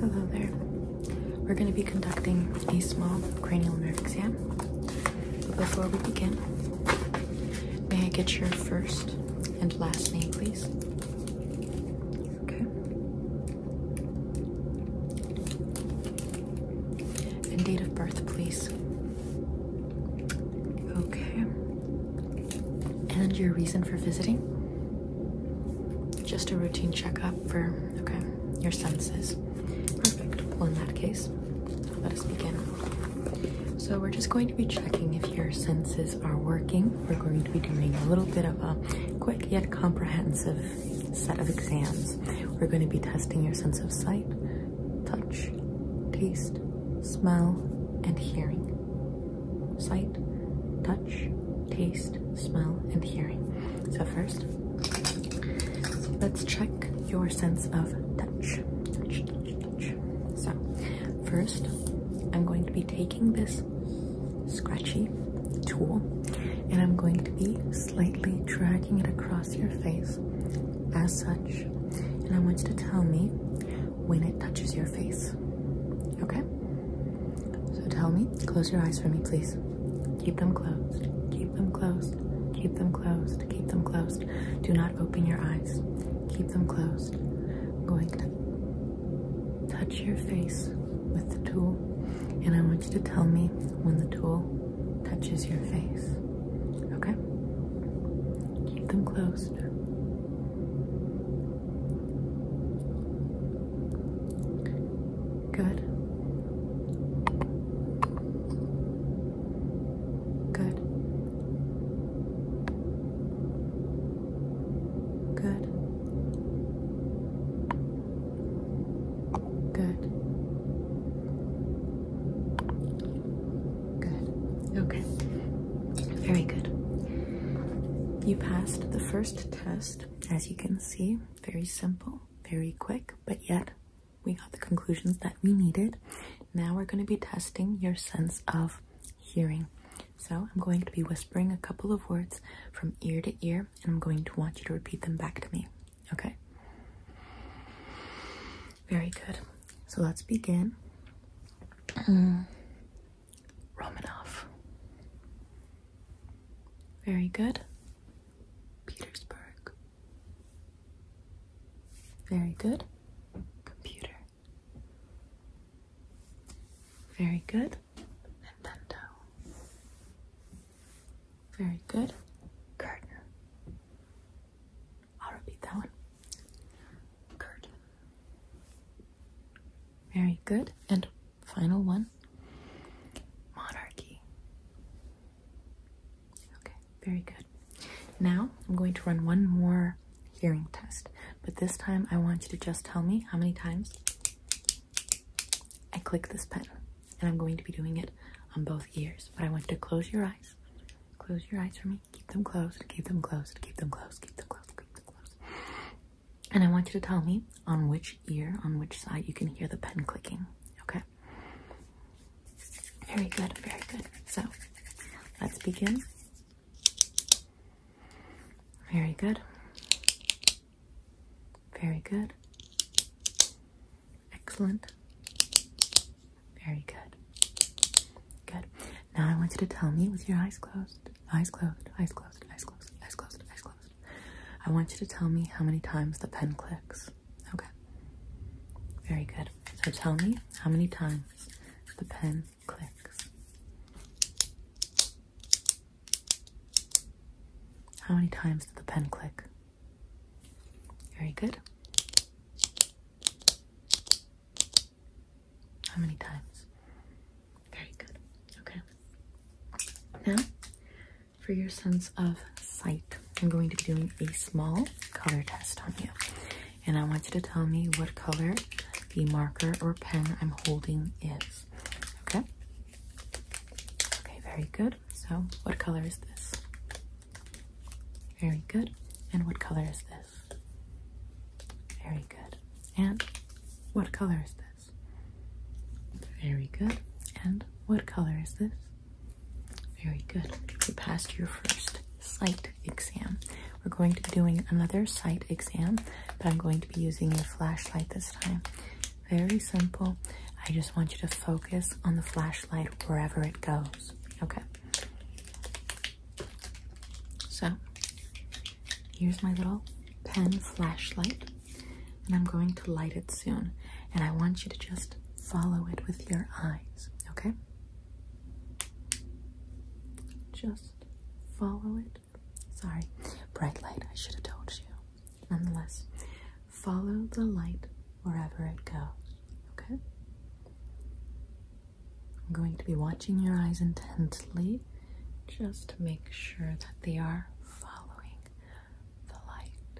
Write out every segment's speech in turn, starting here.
Hello there. We're going to be conducting a small cranial nerve exam. But before we begin, may I get your first and last name, please? Okay. And date of birth, please. Okay. And your reason for visiting? Just a routine checkup for okay your senses. Perfect. Well, in that case, let us begin. So we're just going to be checking if your senses are working. We're going to be doing a little bit of a quick yet comprehensive set of exams. We're going to be testing your sense of sight, touch, taste, smell, and hearing sight, touch, taste, smell, and hearing. So first, let's check your sense of touch. So first, I'm going to be taking this scratchy tool and I'm going to be slightly dragging it across your face as such. And I want you to tell me when it touches your face. Okay? So tell me, close your eyes for me, please. Keep them closed. Keep them closed. Keep them closed. Keep them closed. Do not open your eyes. Keep them closed. I'm going to touch your face with the tool, and I want you to tell me when the tool touches your face. Okay? Keep them closed. Good. Good. Good. Good. Good. Okay. Very good. You passed the first test, as you can see. Very simple, very quick, but yet we got the conclusions that we needed. Now we're going to be testing your sense of hearing. So I'm going to be whispering a couple of words from ear to ear, and I'm going to want you to repeat them back to me. Okay? Very good. So let's begin. Romanov. Very good. Petersburg. Very good. Computer. Very good. Nintendo. Very good. Curtain. I'll repeat that one. Curtain. Very good. And final one monarchy. Okay, very good. Now I'm going to run one more hearing test, but this time I want you to just tell me how many times I click this pen. And I'm going to be doing it on both ears, but I want you to close your eyes. Close your eyes for me. Keep them closed. Keep them closed. Keep them closed. Keep them closed. Keep them closed. And I want you to tell me on which ear, on which side you can hear the pen clicking. Okay? Very good, very good. So let's begin. Very good. Very good. Excellent. Very good. Good. Now I want you to tell me with your eyes closed, eyes closed, eyes closed, eyes closed, eyes closed, eyes closed. I want you to tell me how many times the pen clicks. Okay. Very good. So tell me how many times the pen clicks. How many times did the pen click? Very good. How many times? Very good. Okay. Now, for your sense of sight, I'm going to be doing a small color test on you. And I want you to tell me what color the marker or pen I'm holding is. Okay? Okay, very good. So, what color is this? Very good. And what color is this? Very good. And what color is this? Very good. And what color is this? Very good. You passed your first sight exam. We're going to be doing another sight exam, but I'm going to be using the flashlight this time. Very simple. I just want you to focus on the flashlight wherever it goes. Okay. So here's my little pen flashlight, and I'm going to light it soon. And I want you to just follow it with your eyes, okay? Just follow it. Sorry, bright light, I should have told you. Nonetheless, follow the light wherever it goes, okay? I'm going to be watching your eyes intently just to make sure that they are following the light.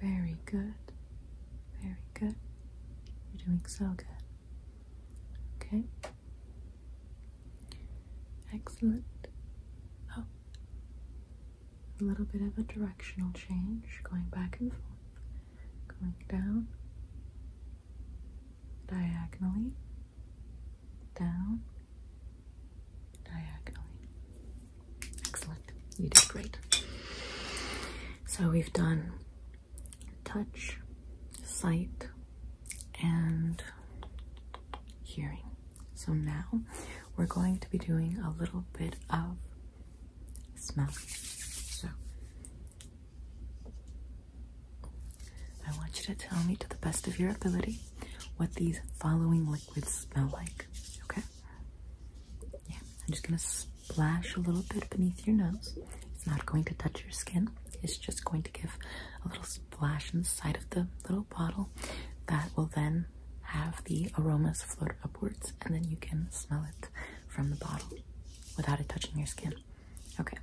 Very good. Very good. You're doing so good. Okay. Excellent. Oh, a little bit of a directional change, going back and forth, going down diagonally, down, diagonally. Excellent. You did great. So we've done touch, sight, and hearing. So now we're going to be doing a little bit of smell. So I want you to tell me to the best of your ability what these following liquids smell like. Okay? Yeah, I'm just gonna splash a little bit beneath your nose. It's not going to touch your skin, it's just going to give a little splash inside of the little bottle that will then have the aromas float upwards and then you can smell it from the bottle without it touching your skin. Okay.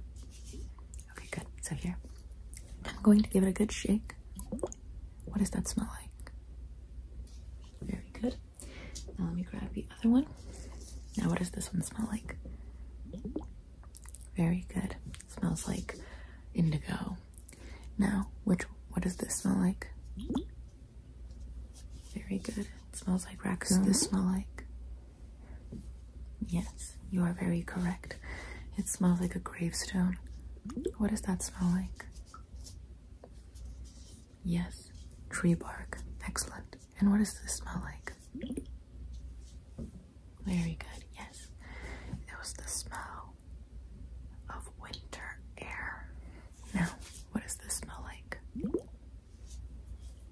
Okay, good. So here, I'm going to give it a good shake. What does that smell like? Very good. Now let me grab the other one. Now what does this one smell like? Very good. Smells like indigo. Now, which what does this smell like? Very good. It smells like raccoon. Does this smell like? Yes, you are very correct. It smells like a gravestone. What does that smell like? Yes, tree bark. Excellent. And what does this smell like? Very good, yes. It was the smell of winter air. Now, what does this smell like?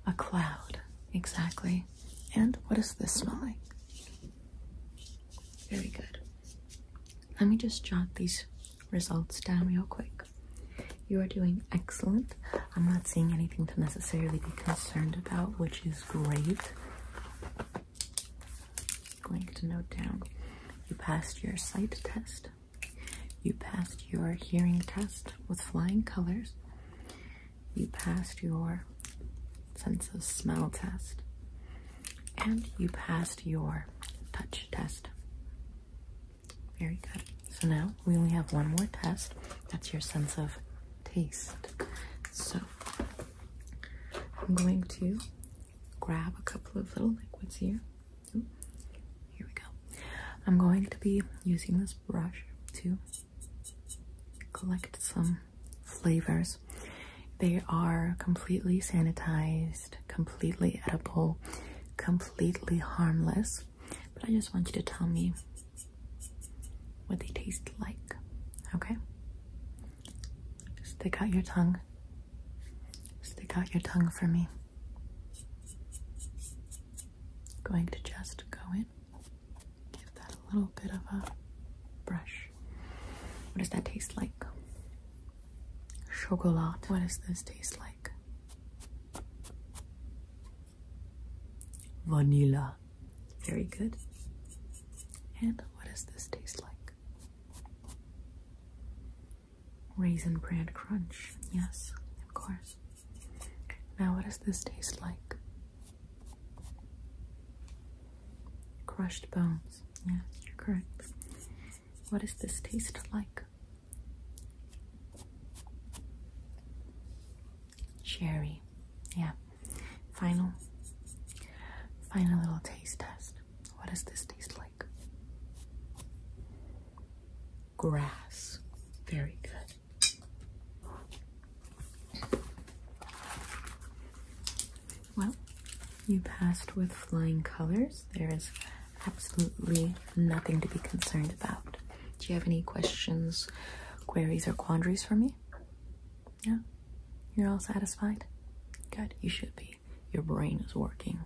A cloud, exactly. And what is this smelling? Very good. Let me just jot these results down real quick. You are doing excellent. I'm not seeing anything to necessarily be concerned about, which is great. Going to note down you passed your sight test, you passed your hearing test with flying colors. You passed your sense of smell test. And you passed your touch test. Very good. So now we only have one more test. That's your sense of taste. So I'm going to grab a couple of little liquids here here we go. I'm going to be using this brush to collect some flavors. They are completely sanitized, completely edible, completely harmless. But I just want you to tell me what they taste like, okay? Stick out your tongue. Stick out your tongue for me. Going to just go in, give that a little bit of a brush. What does that taste like? Chocolate. What does this taste like? Vanilla. Very good. And what does this taste like? Raisin bread Crunch. Yes, of course. Now, what does this taste like? Crushed bones. Yes, correct. What does this taste like? Cherry. Yeah. Final. Final little taste test. What does this taste like? grass. Very good. Well, you passed with flying colors. There is absolutely nothing to be concerned about. Do you have any questions, queries, or quandaries for me? Yeah, You're all satisfied? Good, you should be. Your brain is working.